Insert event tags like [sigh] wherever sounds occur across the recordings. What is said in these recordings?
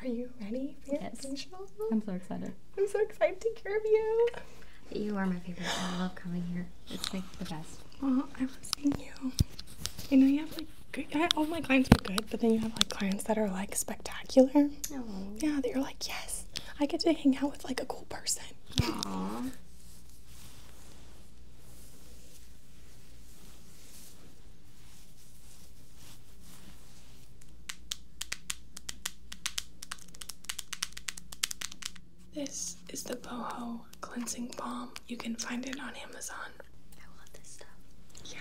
Are you ready for your yes. Facial? I'm so excited. I'm so excited to take care of you. You are my favorite. I love coming here. It's like the best. Oh, I love seeing you. You know, you have like good, all my clients are good, but then you have like clients that are like spectacular. Oh. Yeah, that you're like, yes, I get to hang out with like a cool person. This is the Boho Cleansing Balm. You can find it on Amazon. I love this stuff. Yeah.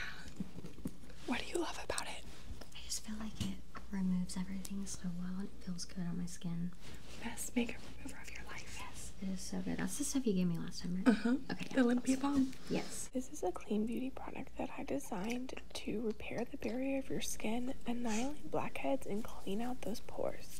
What do you love about it? I just feel like it removes everything so well and it feels good on my skin. Best makeup remover of your life. Yes, it is so good. That's the stuff you gave me last time, right? Uh huh. Okay. the Olympia Balm. Yes. This is a clean beauty product that I designed to repair the barrier of your skin, annihilate blackheads, and clean out those pores.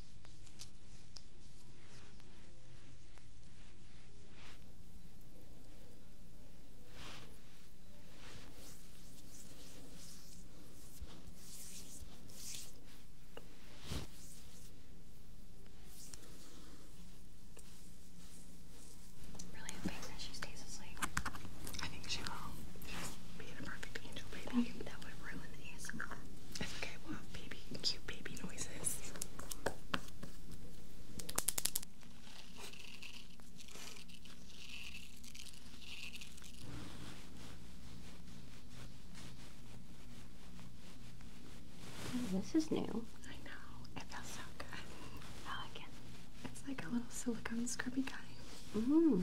really hoping that she stays asleep. I think she will. She's being a perfect angel baby. That would ruin ASMR. I baby, cute baby noises. this is new. I know. It feels so good. I like it. It's like a little silicone scrubby guy. Mm.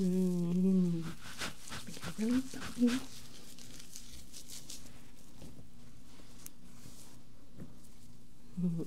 Mm. really bumpy. Feels good.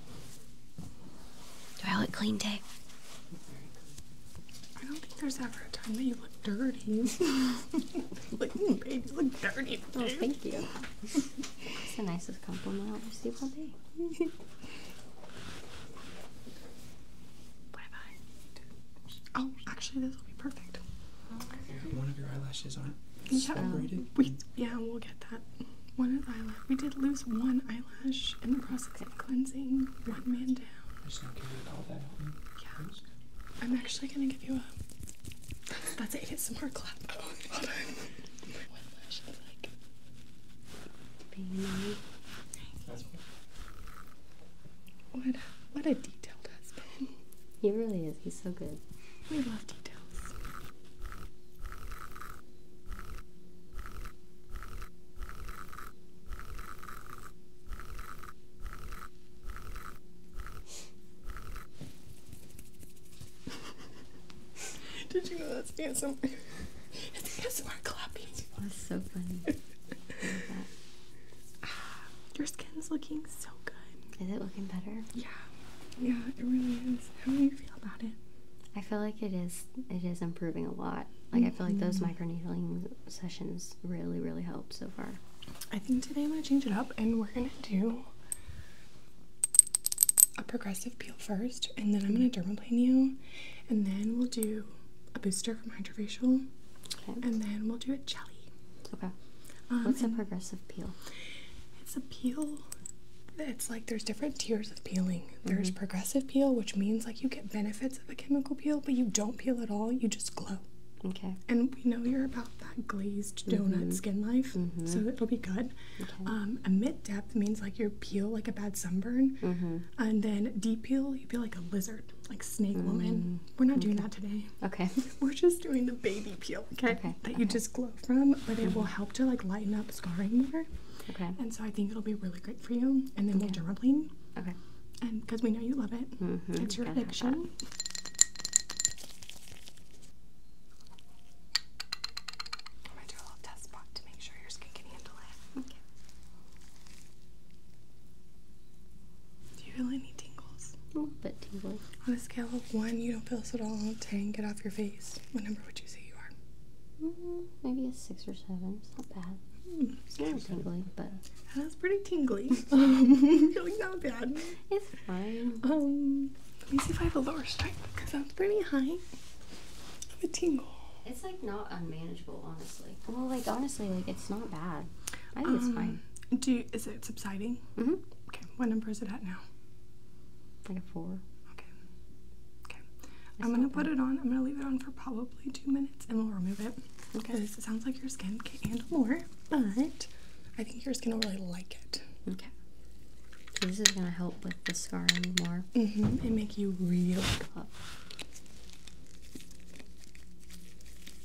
Do I look clean, Tay? I don't think there's ever a time that you look dirty. [laughs] like, mm, babe, you look dirty. Oh, thank you. It's the nicest compliment i have received all day. what have Oh, actually, this will be perfect. One of your eyelashes aren't yeah, separated. yeah, we'll get that. One eyelash. We did lose one eyelash in the process of cleansing. One man down. I'm Yeah. I'm actually gonna give you a. That's it. It's more clap. what. [laughs] What a, what a detailed husband. He really is. He's so good. We love details. Did you know that's ASMR? [laughs] it's ASMR clapping. That's so funny. like that. ah, your skin's looking so good. Is it looking better? Yeah. Yeah, it really is. How do you feel about it? I feel like it is it is improving a lot. Like I feel like those mm-hmm. microneedling sessions really really help so far. I think today I'm gonna change it up and we're gonna do a progressive peel first, and then I'm gonna dermaplane you, and then we'll do a booster from hydrofacial, facial, and then we'll do a jelly. Okay. Um, What's a progressive peel? It's a peel it's like there's different tiers of peeling. There's mm-hmm. progressive peel, which means like you get benefits of a chemical peel, but you don't peel at all. You just glow. Okay. And we know you're about that glazed donut mm-hmm. skin life, so mm-hmm. it'll be good. Okay. Um, a mid depth means like your peel like a bad sunburn, and then deep peel you peel like a lizard, like snake woman. We're not doing that today. Okay. [laughs] We're just doing the baby peel. okay. That you just glow from, but it will help to like lighten up scarring more. Okay. And so I think it'll be really great for you. And then we'll do dermaplane. Okay. And because we know you love it, mm-hmm. it's your addiction. I'm gonna do a little test spot to make sure your skin can handle it. Okay. Do you feel any tingles? A little bit tingles. On a scale of one, you don't feel this at all. Ten, get off your face. What number would you say? Mm, maybe a six or seven. It's not bad. Mm, it's a little tingly, but that's pretty tingly. um, [laughs] [laughs] feeling not bad. It's fine. Um, let me see if I have a lower strength because that's pretty high. a tingle. It's like not unmanageable, honestly. Well, like honestly, like it's not bad. I think it's fine. Um, do is it subsiding? hmm Okay, what number is it at now? Like a four. Okay. Okay. I'm gonna put it on. I'm gonna leave it on for probably two minutes, and we'll remove it. Okay. Because it sounds like your skin can't handle more, but I think your skin will really like it. Okay. this is gonna help with the scar anymore. Mm-hmm. And make you real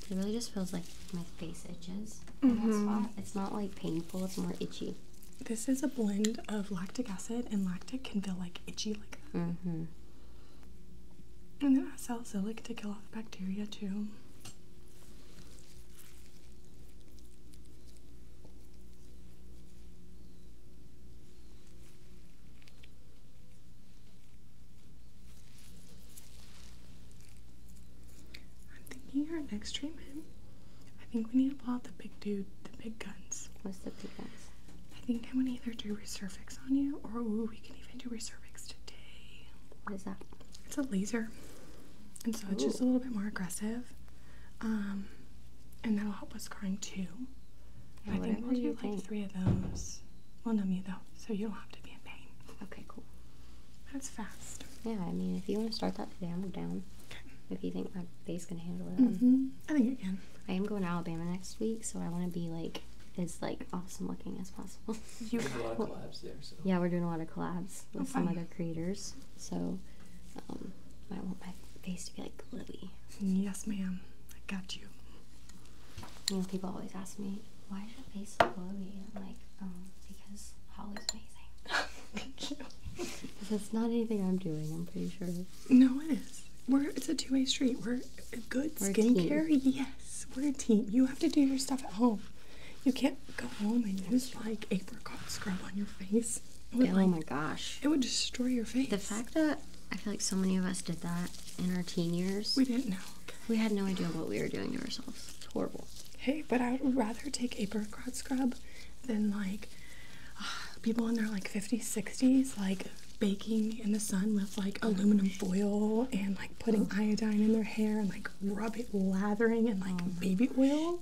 It really just feels like my face itches. Mm -hmm. It's not like painful. It's more itchy. This is a blend of lactic acid and lactic can feel like itchy like that. Mm-hmm. And then salicylic to kill off bacteria too. I'm thinking our next treatment I think we need to pull out the big dude, the big guns. What's the big guns? I think I'm gonna either do resurfix on you, or we can even do resurfix today. What is that? It's a laser, and so it's just a little bit more aggressive, um, and that'll help with scarring too. I think we'll do like three of those. We'll numb you though, so you don't have to be in pain. Okay, cool. That's fast. Yeah, I mean, if you want to start that today, I'm down. Okay. If you think that. Face can handle it. Mm-hmm. I think it can. I am going to Alabama next week, so I want to be like as like awesome looking as possible. you [laughs] a lot of collabs there, so. Yeah, we're doing a lot of collabs oh, with some other creators, so um, I want my face to be like glowy. Yes, ma'am. I got you. You know, people always ask me, why is your face look glowy? And I'm like, um, because Holly's made amazing. [laughs] [laughs] That's not anything I'm doing, I'm pretty sure. No, it is. We're, it's a two way street. We're good skincare. Yes. We're a team. You have to do your stuff at home. You can't go home and use like apricot scrub on your face. Would, oh my gosh. It would destroy your face. The fact that I feel like so many of us did that in our teen years. We didn't know. We had no idea what we were doing to ourselves. horrible. Hey, but I would rather take apricot scrub than like ah, people in their like 50s, 60s, like baking in the sun with like aluminum foil and like putting oh. iodine in their hair and like rub it lathering and like oh baby oil,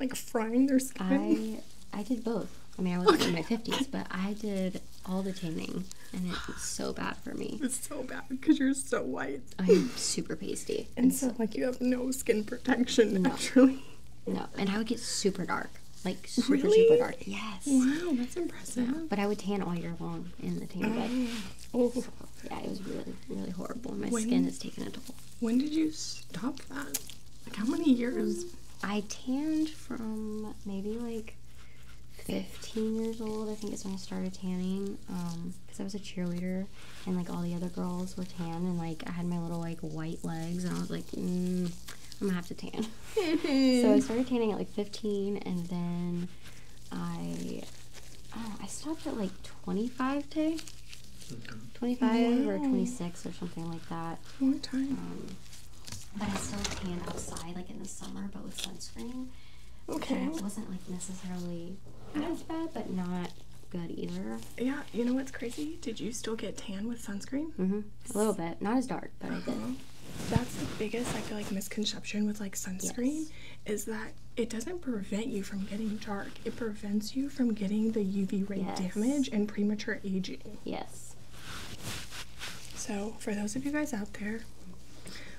like frying their skin. I I did both. I mean, I was in my 50s, but I did all the tanning, and it was so [sighs] bad for me. It's so bad because you're so white. I'm super pasty. And, so, like, you have no skin protection naturally. No, and I would get super dark. Like super super dark. Yes. Wow, that's impressive. but I would tan all year long in the tanning bed. Oh. oh. yeah, it was really really horrible. My skin has taken a toll. When did you stop that? Like how many years? I tanned from maybe like 15 years old. I think is when I started tanning. because um, I was a cheerleader and like all the other girls were tan and like I had my little like white legs and I was like mm, I'm gonna have to tan [laughs] so I started tanning at like 15 and then I oh I stopped at like 25 today 25 or 26 or something like that long time um, but I still tan outside like in the summer but with sunscreen okay it wasn't like necessarily really not bad, but not good either. Yeah, you know what's crazy? Did you still get tan with sunscreen? hmm A little bit, not as dark, but I did. Uh-huh. That's the biggest I feel like misconception with like sunscreen is that it doesn't prevent you from getting dark. It prevents you from getting the UV ray damage and premature aging. Yes. So for those of you guys out there,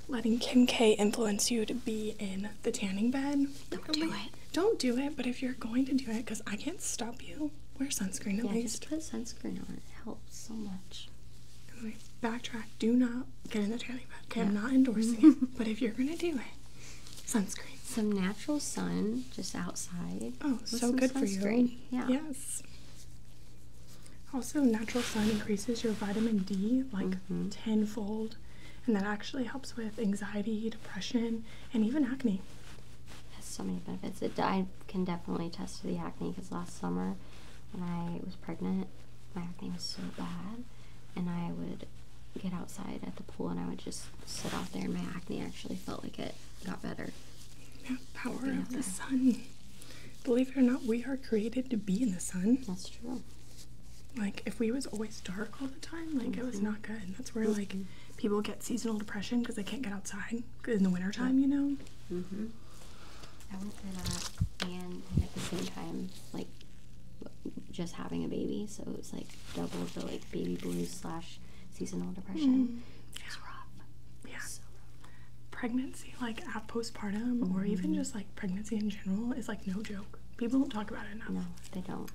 letting Kim K influence you to be in the tanning bed. Oh do it. Don't do it, but if you're going to do it, because I can't stop you, wear sunscreen at yeah, least. Yeah, just put sunscreen on. It helps so much. Anyway, backtrack. Do not get in the tanning bed. Okay, I'm not endorsing it, [laughs] but if you're going to do it, sunscreen. Some natural sun just outside. Oh, so good for you. Yeah. Yes. Also, natural sun increases your vitamin D like mm-hmm. tenfold and that actually helps with anxiety, depression, and even acne. It has so many benefits. I can definitely attest to the acne because last summer when I was pregnant, my acne was so bad, and I would get outside at the pool and I would just sit out there, and my acne actually felt like it got better. Yeah, power of the sun. Believe it or not, we are created to be in the sun. That's true. Like if we was always dark all the time, like it was mm-hmm. not good. And that's where like mm-hmm. people get seasonal depression because they can't get outside in the wintertime, you know. Mhm. I went through that, and at the same time, like just having a baby, so it was like double the like baby blues slash seasonal depression. Mm-hmm. It's rough. Yeah. Pregnancy, like at postpartum, or even just like pregnancy in general, is like no joke. People don't talk about it enough. No, they don't.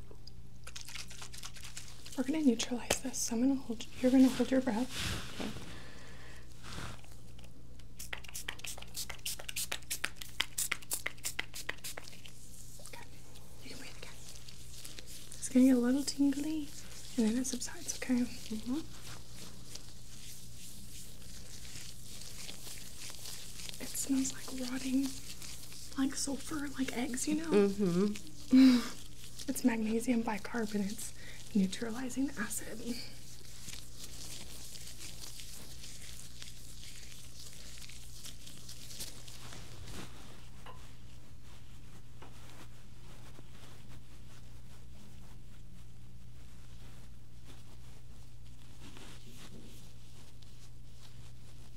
We're gonna neutralize this. So I'm gonna hold. You're gonna hold your breath. Okay. It's gonna get a little tingly, and then it subsides. Okay. Mm -hmm. It smells like rotting like sulfur, like eggs, you know? Mm-hmm. it's magnesium bicarbonate's neutralizing acid.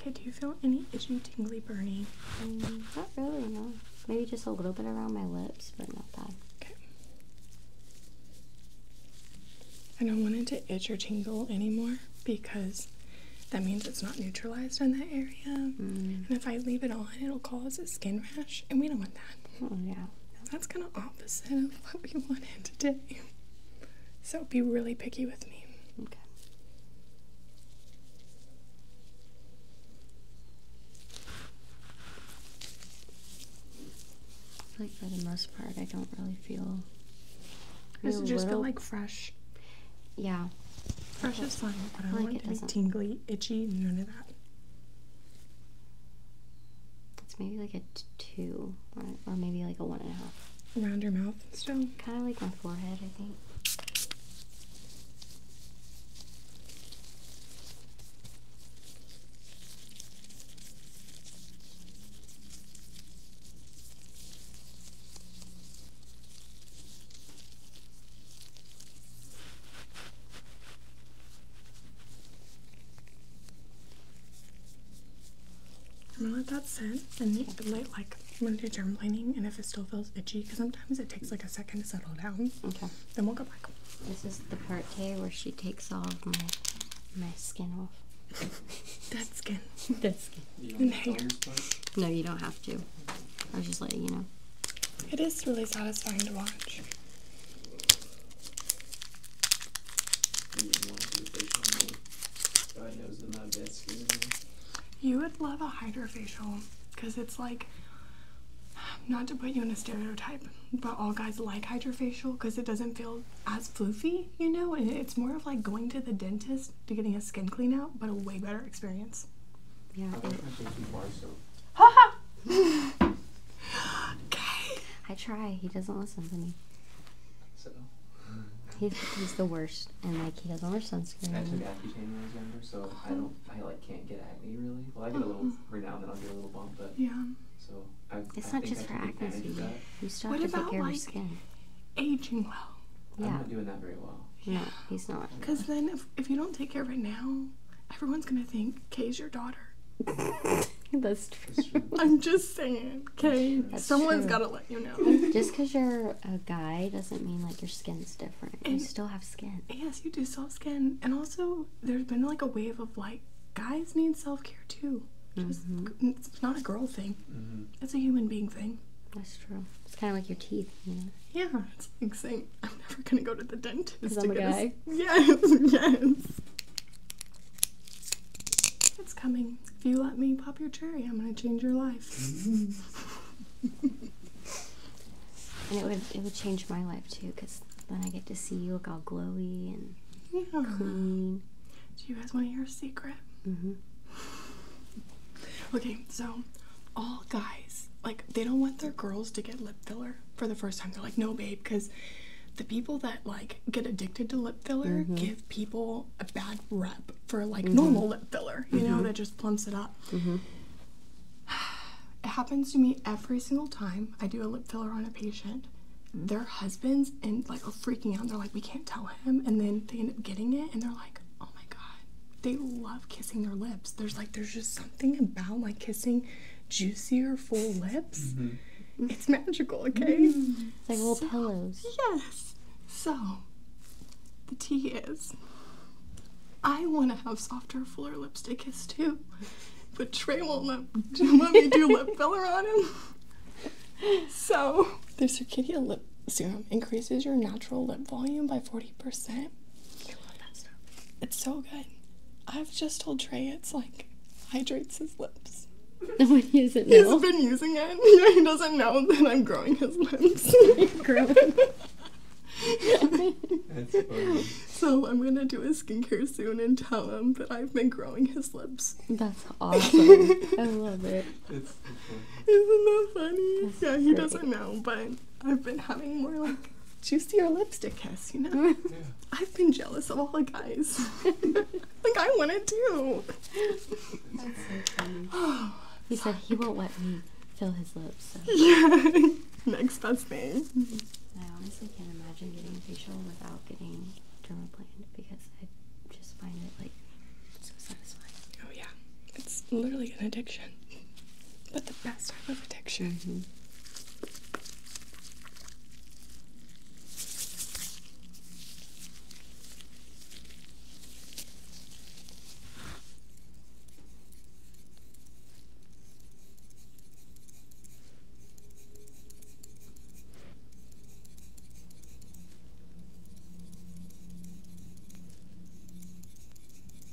Okay, do you feel any itchy, tingly, burning? Um, not really, no. Maybe just a little bit around my lips, but not bad. Okay. I do want it to itch or tingle anymore because that means it's not neutralized in that area. Mm. And if I leave it on, it'll cause a skin rash, and we don't want that. Oh, yeah. that's kind of opposite of what we wanted today. So be really picky with me. Okay. I feel like for the most part, I don't really feel. Does just little... feel like fresh? Yeah. Fresh is fine, but I, don't want it to be tingly, itchy, none of that. It's maybe like a two, or, maybe like a one and a half. Around your mouth and stuff. Kind of like my forehead, I think. I'm gonna let that sit and let, like I'm gonna do germ cleaning and if it still feels itchy because sometimes it takes like a second to settle down. Okay. Then we'll go back. This is the part K where she takes all of my my skin off. [laughs] Dead skin. [laughs] Dead skin. And hair. No, you don't have to. I was just letting you know. It is really satisfying to watch. You would love a hydrofacial because it's like, not to put you in a stereotype, but all guys like hydrofacial because it doesn't feel as floofy, you know? And it's more of like going to the dentist to getting a skin clean out, but a way better experience. Yeah. Ha [laughs] okay. I try. He doesn't listen to me. So. He's, the worst, and like he doesn't wear sunscreen. I took Accutane when I so I don't, I like can't get acne really. Well, I get a little every now and then I'll get a little bump, but yeah. So it's not just for acne. You, you still have to take care of your skin. Aging well. Yeah. I'm not doing that very well. No, he's not. Because then, if, if you don't take care of it now, everyone's gonna think Kay is your daughter. [laughs] That's true. I'm just saying, Kay. Someone's gotta let you know. Just because you're a guy doesn't mean like your skin's different. you still have skin. Yes, you do self skin, and also there's been like a wave of like guys need self care too. Mm-hmm. It's not a girl thing. Mm It's a human being thing. That's true. It's kind of like your teeth, Yeah. Yeah, it's like saying I'm never gonna go to the dentist. again. [laughs] yes, yes. It's coming. If you let me pop your cherry, I'm gonna change your life. [laughs] and it would it would change my life too, because then I get to see you look all glowy and clean. Do you guys want to hear a secret? Mm-hmm. Okay, so all guys like they don't want their girls to get lip filler for the first time. They're like, no, babe, because the people that like get addicted to lip filler mm-hmm. give people a bad rep for like mm-hmm. normal lip filler, you know, mm-hmm. that just plumps it up. [sighs] It happens to me every single time I do a lip filler on a patient. Their husbands and like are freaking out. They're like, we can't tell him, and then they end up getting it, and they're like, oh my god, they love kissing their lips. There's like, there's just something about like kissing juicier, full lips. Mm-hmm. It's magical, okay? Mm. like little pillows. Yes. So, the tea is I want to have softer, fuller lipstick kiss too, but Trey won't let, me do [laughs] lip filler on him. So, the Circadia lip serum increases your natural lip volume by 40%. It's so good. I've just told Trey it's like hydrates his lips. [laughs] When he doesn't He's know. been using it. Yeah, [laughs] he doesn't know that I'm growing his lips. [laughs] growing. That's funny. So I'm gonna do his skincare soon and tell him that I've been growing his lips. That's awesome. I love It's not that funny? yeah, he doesn't know, but I've been having more Juicy or lipstick kiss, you know? [laughs] I've been jealous of all the guys. [laughs] like, I want to. too. he said he won't let me fill his lips. [laughs] Yeah. Next best thing. I honestly can't imagine getting facial without getting dermaplaned because I just find it like so satisfying. Oh, yeah. It's literally an addiction. But the best type of addiction. Mm-hmm.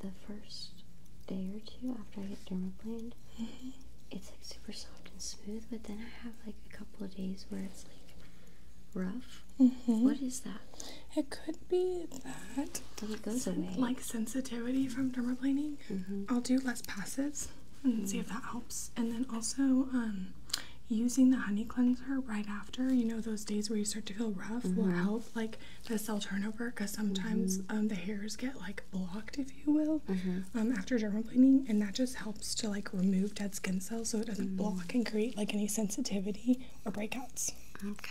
The first day or two after I get dermaplaned, it's like super soft and smooth, but then I have like a couple of days where it's like rough. Mm-hmm. What is that? It could be that. Like sensitivity from dermaplaning. Mm-hmm. I'll do less passes and see if mm-hmm. that helps. And then also, um, using the honey cleanser right after you know those days where you start to feel rough will help like the cell turnover because sometimes um, the hairs get like blocked you will, mm-hmm. um, after dermal um, and that just helps to like remove dead skin cells so it doesn't mm. block and create like any sensitivity or breakouts. Okay.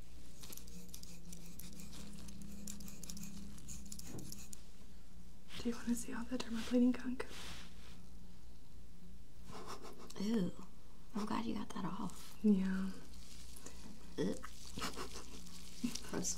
Do you want to see all the dermaplaning gunk? Ew. I'm glad you got that off. Yeah. Ugh. Gross.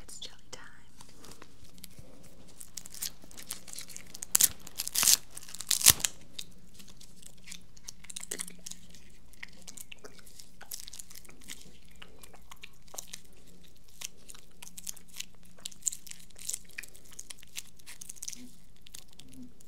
It's jelly time.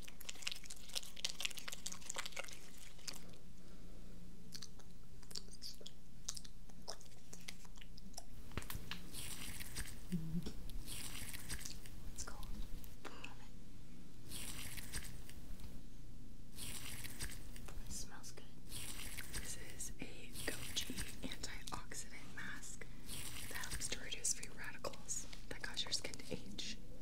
It smells good. This is a goji antioxidant mask that helps to reduce free radicals that cause your skin to age.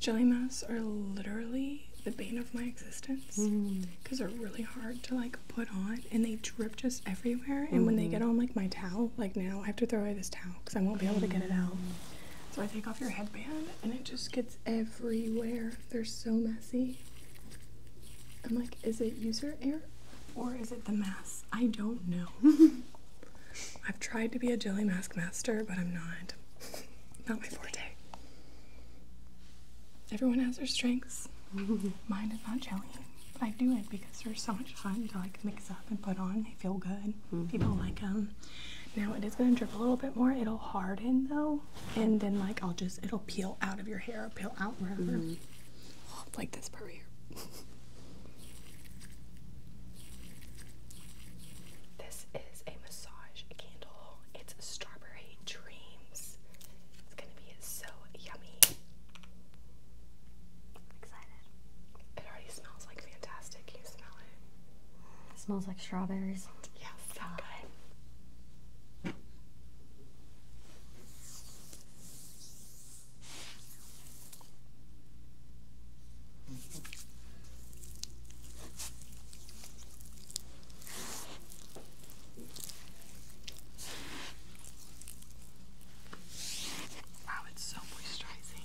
Jelly masks are literally the bane of my existence because mm. they're really hard to like put on and they drip just everywhere. And when they mm. get on like my towel, like now I have to throw away this towel because I won't be able to get it out. So I take off your headband and it just gets everywhere. They're so messy. I'm like, is it user error or is it the mask? I don't know. [laughs] I've tried to be a jelly mask master, but I'm not. Not my forte. Everyone has their strengths. [laughs] Mine is not jelly. I do it because they so much fun to like mix up and put on. They feel good. Mm-hmm. People like them. Now it is going to drip a little bit more. It'll harden though, and then like I'll just it'll peel out of your hair, peel out wherever. Mm-hmm. like this part here. [laughs] This is a massage candle. It's Strawberry Dreams. It's gonna be so yummy. Excited. It already smells like fantastic. you smell it? smells like strawberries. Yeah, Wow, it's so moisturizing.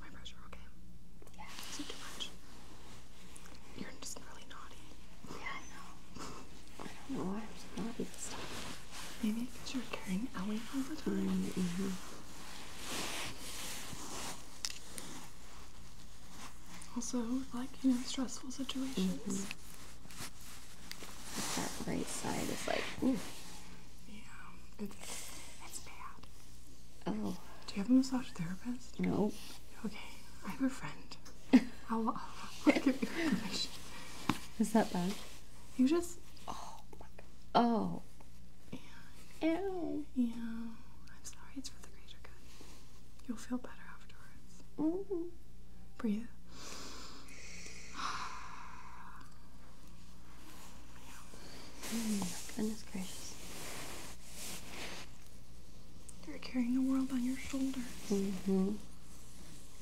My pressure okay? Yeah. Is it too much? You're just really naughty. Yeah, I know. I don't know why I'm so naughty Maybe because you're carrying Ellie all the time mm-hmm. Also, like, you know, stressful situations. Mm-hmm. That right side is like, Yeah, it's, bad. Oh. Do you have a massage therapist? No. Okay, I have a friend. [laughs] I'll, I'll give Is that bad? You just oh Oh. Yeah. Yeah. I'm sorry. It's for the greater good. You'll feel better afterwards. Mm -hmm. Breathe. [sighs] Oh goodness gracious. You're carrying the world on your shoulders. Mm -hmm.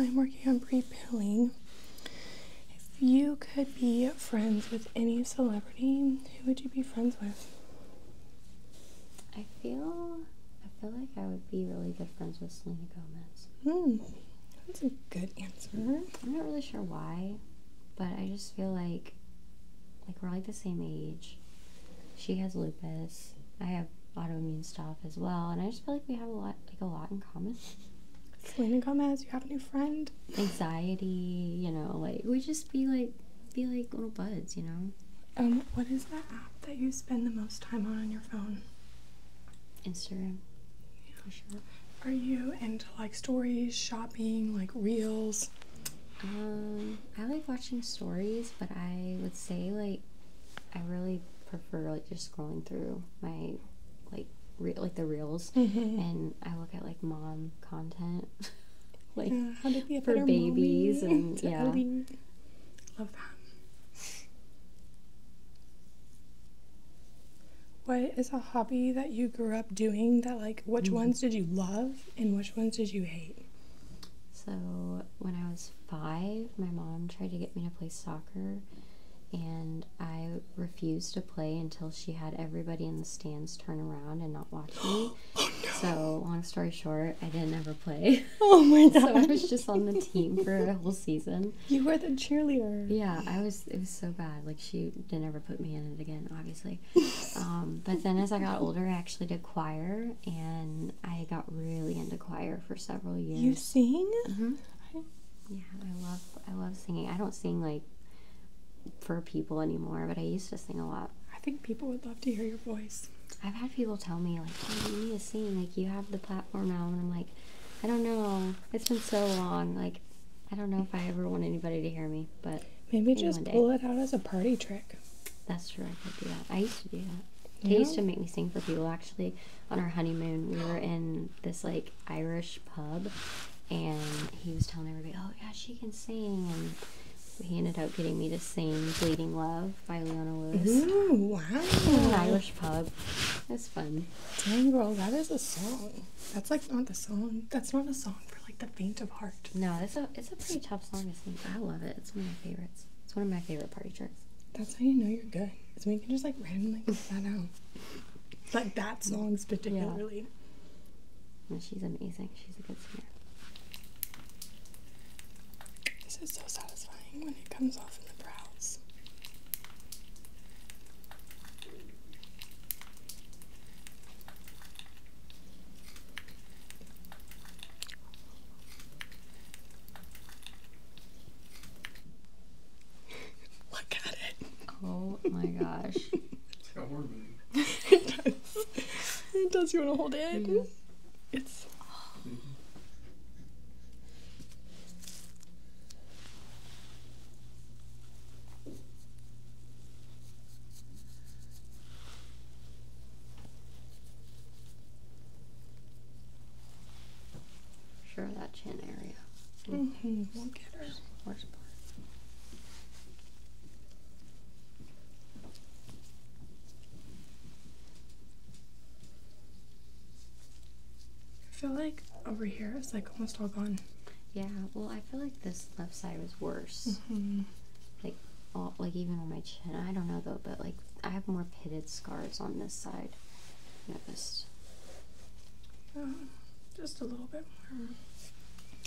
I'm working on repelling. If you could be friends with any celebrity, who would you be friends with? I feel I feel like I would be really good friends with Selena Gomez. Hmm. That's a good answer. I'm not really sure why, but I just feel like like we're like the same age. She has lupus. I have autoimmune stuff as well, and I just feel like we have a lot like a lot in common. Selena Gomez, you have a new friend. Anxiety, you know, like we just be like be like little buds, you know. Um, what is that app that you spend the most time on on your phone? Instagram. Yeah. Are you into like stories, shopping, like reels? Um, I like watching stories, but I would say like I really prefer like just scrolling through my like re- like the reels, [laughs] mm-hmm. and I look at like mom content, [laughs] like for babies and [laughs] yeah, love that. What is a hobby that you grew up doing? That like, which mm-hmm. ones did you love and which ones did you hate? So when I was five, my mom tried to get me to play soccer, and I refused to play until she had everybody in the stands turn around and not watch me. [gasps] Oh, so long story short, I didn't ever play. [laughs] Oh my god! [laughs] so I was just on the team for a whole season. You were the cheerleader. Yeah, I was. It was so bad. Like she didn't ever put me in it again, obviously. [laughs] Um, but then as I got older, I actually did choir, and I got really into choir for several years. You sing? Mm-hmm. Yeah, I love I love singing. I don't sing like for people anymore, but I used to sing a lot. I think people would love to hear your voice. I've had people tell me like, "You need to sing. Like you have the platform now," and I'm like, "I don't know. It's been so long. Like, I don't know if I ever want anybody to hear me." But maybe just pull it out as a party trick. That's true. I could do that. I used to do that. He used to make me sing for people. Actually, on our honeymoon, we were in this like Irish pub, and he was telling everybody, "Oh yeah, she can sing." And he ended up getting me to sing "Bleeding Love" by Leona Lewis. Ooh, wow! an Irish pub. That's fun. Dang, girl, that is a song. That's like not the song. That's not a song for like the faint of heart. No, it's a it's a pretty tough song to sing. I love it. It's one of my favorites. It's one of my favorite party tricks. That's how you know you're good. It's when you can just like randomly I know. out. [laughs] Like that song's particularly. Yeah. she's amazing. She's a good singer. This is so satisfying when it comes off in the brows. [laughs] Look at it. Oh my gosh. [laughs] it does. It does. You want to hold it? Mm-hmm. It's. Mm-hmm. Sure, that chin area. Mm hmm. We'll get her. Worse part. I feel like over here it's like almost all gone. Yeah, well, I feel like this left side was worse. Mm-hmm. Like all, like even on my chin. I don't know though, but like I have more pitted scars on this side. Noticed. Oh, just a little bit more.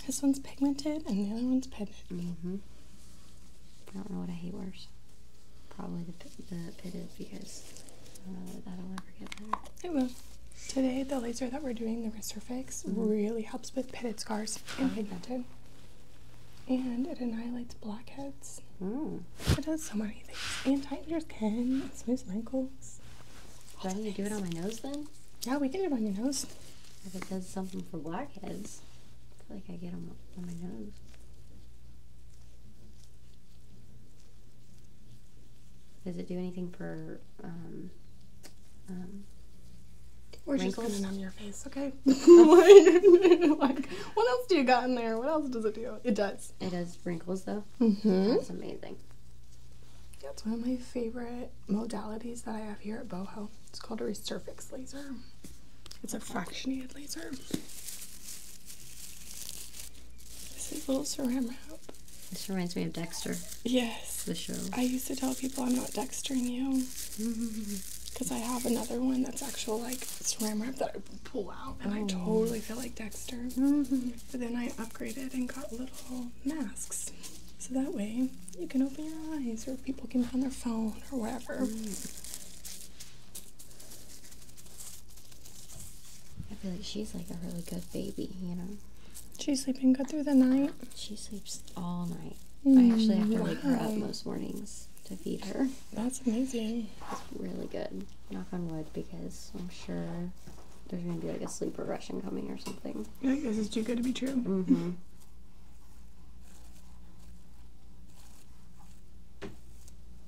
This one's pigmented and the other one's pitted. Mm-hmm. I don't know what I hate worse. Probably the, pitted because that will ever get better. It will. Today, the laser that we're doing, the wrist fix, mm-hmm. really helps with pitted scars and uh-huh. pigmented and it annihilates blackheads. Mm. It does so many things. And tightens your skin, smooths wrinkles. Do I do it on my nose then? Yeah, we can do it on your nose. If it does something for blackheads, I feel like I get them on my nose. Does it do anything for um, um, we're wrinkles. on your face, okay? [laughs] like, what else do you got in there? What else does it do? It does. It does wrinkles, though. mm That's amazing. Yeah, it's one of my favorite modalities that I have here at boho. It's called a resurfix laser. It's a fractionated laser. This is a little ceramic. This reminds me of Dexter. Yeah, the show. I used to tell people I'm not dextering you. Because [laughs] I have another one that's actual like swim wrap that I pull out and I oh. totally feel like Dexter. Mm-hmm. but then I upgraded and got little masks. So that way you can open your eyes or people can be on their phone or whatever. I feel like she's like a really good baby, you know? She's sleeping good through the night. She sleeps all night. I mm, actually have to wow. wake her up most mornings to feed her. That's amazing. It's really good. Knock on wood because I'm sure there's gonna be like a sleep regression coming or something. Yeah, this is too good to be true. Mm-hmm. [laughs] [laughs]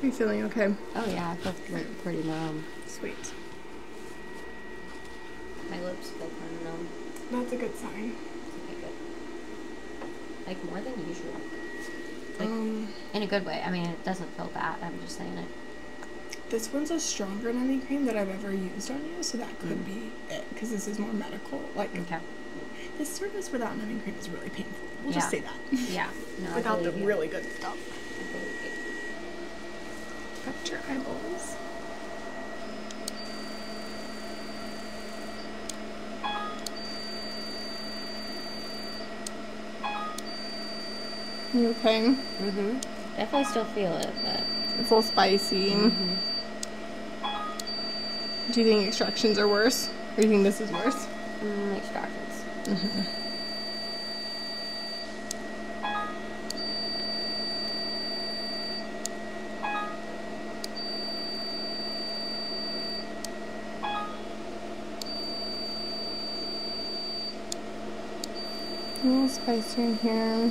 Are you feeling okay? Oh yeah, I felt pretty numb. Sweet. My lips felt numb. That's a good sign. Okay, good. Like more than usual. um, in a good way. I mean, it doesn't feel bad. I'm just saying it. This one's a stronger numbing cream that I've ever used on you, so that could mm. be it because this is more difficult. Like, okay. the service without numbing cream is really painful. We'll just say that. Yeah. [laughs] No, without the really good stuff. Cut your eyeballs. You okay? hmm Definitely still feel it, but it's a little spicy. Mm-hmm. Do you think extractions are worse? Or do you think this is worse? extractions. Mm -hmm. A little spicier in here.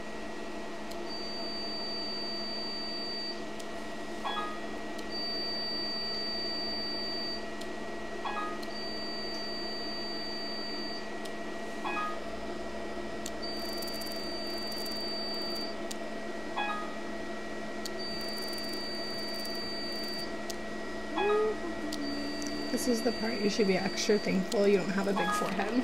This is the part you should be extra thankful you don't have a big forehead.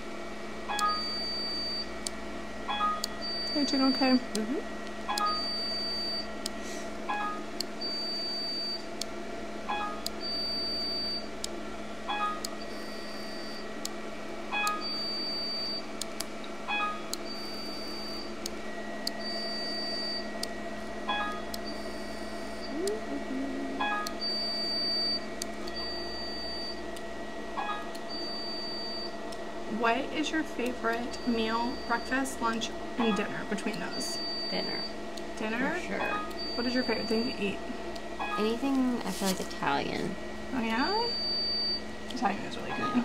you doing okay? -hmm. What is your favorite meal, breakfast, lunch, and dinner between those? Dinner. Dinner? sure. What is your favorite thing to eat? Anything, I feel like Italian. Oh yeah? Italian is really good.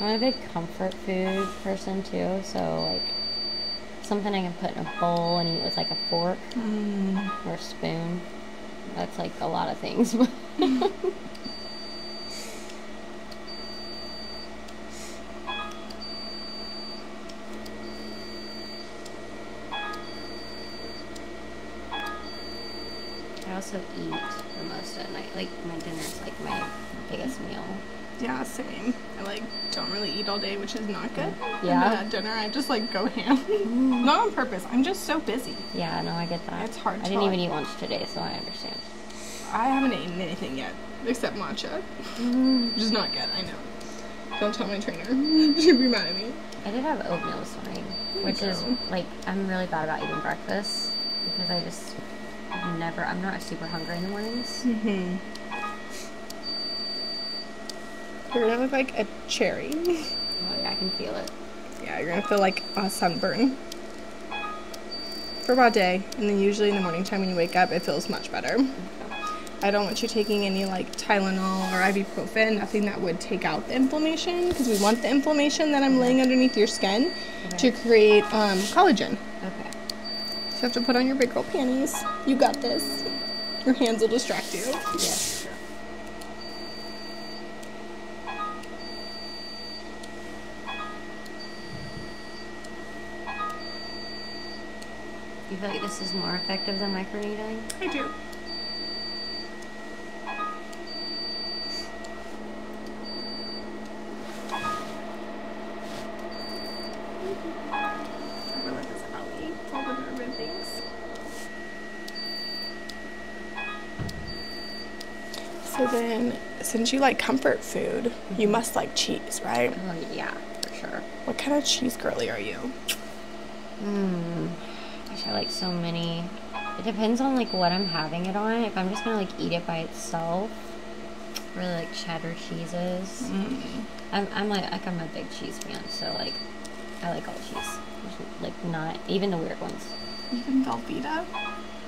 I'm a big comfort food person too, so like something I can put in a bowl and eat with like a fork mm. or a spoon. That's like a lot of things. [laughs] I also eat the most at night. Like my dinner's like my biggest meal. Yeah, same. I like don't really eat all day which is not good. Yeah. dinner, I just like go ham. Mm. not on purpose. I'm just so busy. Yeah, no, I get that. It's hard. I didn't even eat lunch today, so I understand. I haven't eaten anything yet except matcha, mm. which is not good. I know. Don't tell my trainer. Mm. [laughs] She'd be mad at me. I did have oatmeal this morning, which is like I'm really bad about eating breakfast because I just never. I'm not super hungry in the mornings. Mm-hmm. You're gonna look like a cherry. Oh, yeah, I can feel it. Yeah, you're gonna feel like a sunburn for about a day, and then usually in the morning time when you wake up, it feels much better. I don't want you taking any like Tylenol or ibuprofen, nothing that would take out the inflammation, because we want the inflammation that I'm laying underneath your skin to create um, collagen. Okay. So you have to put on your big girl panties. You got this. Your hands will distract you. Yes. You feel like this is more effective than microneedling? I do. I really like this alley. All the urban things. So then, since you like comfort food, you mm-hmm. must like cheese, right? Oh, yeah, for sure. What kind of cheese girly are you? Mmm. Gosh, I like so many. It depends on like what I'm having it on. If I'm just gonna like eat it by itself, really like cheddar cheeses. Mm-hmm. I'm, like I'm a big cheese fan, so like I like all cheese. Like not even the weird ones. Even Velveeta.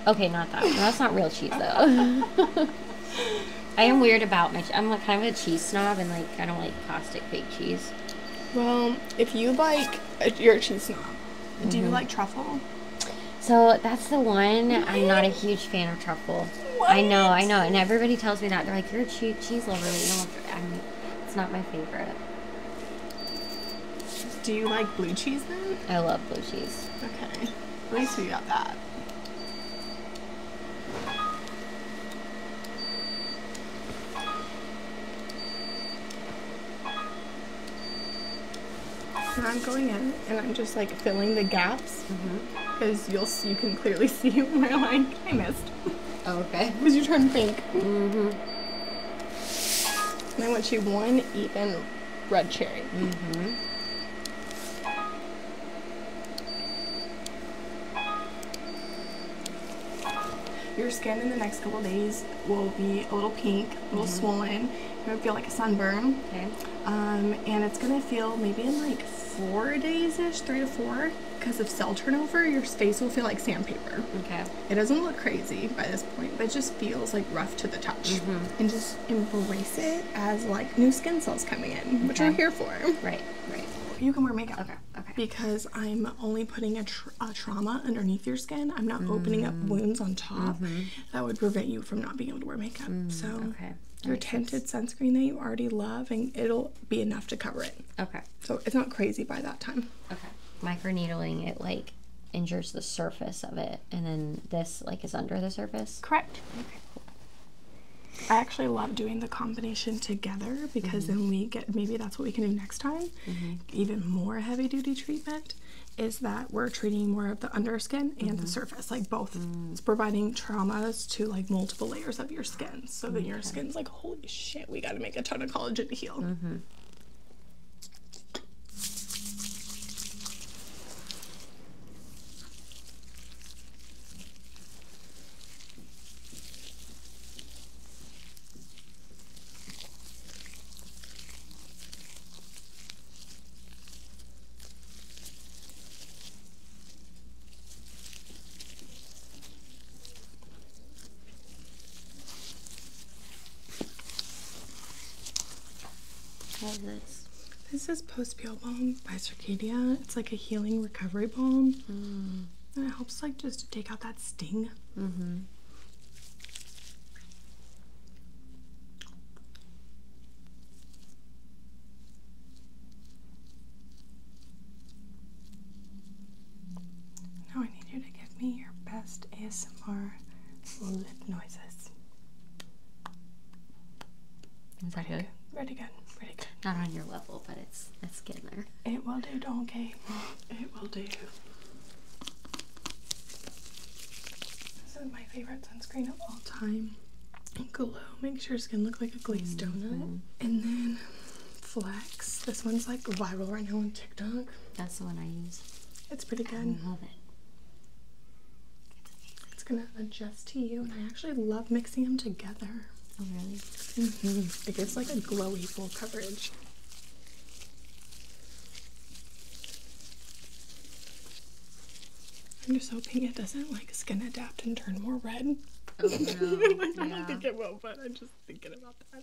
Okay, not that. That's not real cheese though. [laughs] I am weird about my. I'm like kind of a cheese snob, and like I don't like plastic fake cheese. Well, if you like, you're a cheese snob. Do you mm-hmm. like truffle? So that's the one. I'm not a huge fan of truffle. I know, I know, and everybody tells me that they're like, "You're a cheese lover," but you don't. I'm it's not my favorite. Do you like blue cheese then? I love blue cheese. Okay. At least we got that. Now I'm going in and I'm just like filling the gaps because mm-hmm. you will you can clearly [laughs] see where like I missed Oh, okay. It was your turn pink. hmm And I want you one even red cherry. hmm Your skin in the next couple days will be a little pink, a little mm-hmm. swollen. It are feel like a sunburn. Okay. Um, and it's gonna feel maybe in like four days ish, three to four because of cell turnover, your face will feel like sandpaper. Okay. It doesn't look crazy by this point, but it just feels like rough to the touch. Mm -hmm. And just embrace it as like new skin cells coming in, which we're here for. Right, right. You can wear makeup. Okay, okay. Because I'm only putting a, trauma underneath your skin. I'm not opening up mm. wounds on top mm-hmm. that would prevent you from not being able to wear makeup. Mm, so, okay. your tinted sunscreen that you already love, and it'll be enough to cover it. Okay. So it's not crazy by that time. Okay. Micro needling it like injures the surface of it, and then this like is under the surface. Correct. Okay. I actually love doing the combination together because mm-hmm. then we get maybe that's what we can do next time. Mm-hmm. Even more heavy duty treatment is that we're treating more of the underskin and the mm-hmm. surface, like both. Mm. It's providing traumas to like multiple layers of your skin so that your skin's like holy shit, we got to make a ton of collagen to heal. Mm-hmm this? This is Post Peel Balm by Circadia. It's like a healing recovery balm. Hmm. And it helps like just to take out that sting. Mm-hmm. Now I need you to give me your best ASMR lip noises. Pretty good. Pretty good. Pretty good. Not on your level, but it's it's getting there. It will do, donkey. It will do. This is my favorite sunscreen of all time. Glow makes your skin look like a glazed mm-hmm. donut. And then Flex. This one's like viral right now on TikTok. That's the one I use. It's pretty good. I love it. It's gonna adjust to you, and I actually love mixing them together. Oh, really? -hmm. It gives like a glowy full coverage. I'm just hoping it doesn't like skin adapt and turn more red. Oh, no. [laughs] I don't think it will, but I'm just thinking about that.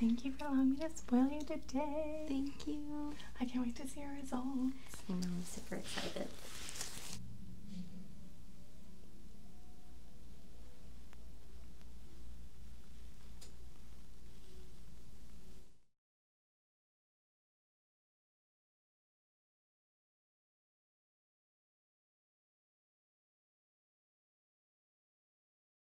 Thank you for allowing me to spoil you today. Thank you. I can't wait to see your results. I know, i super excited.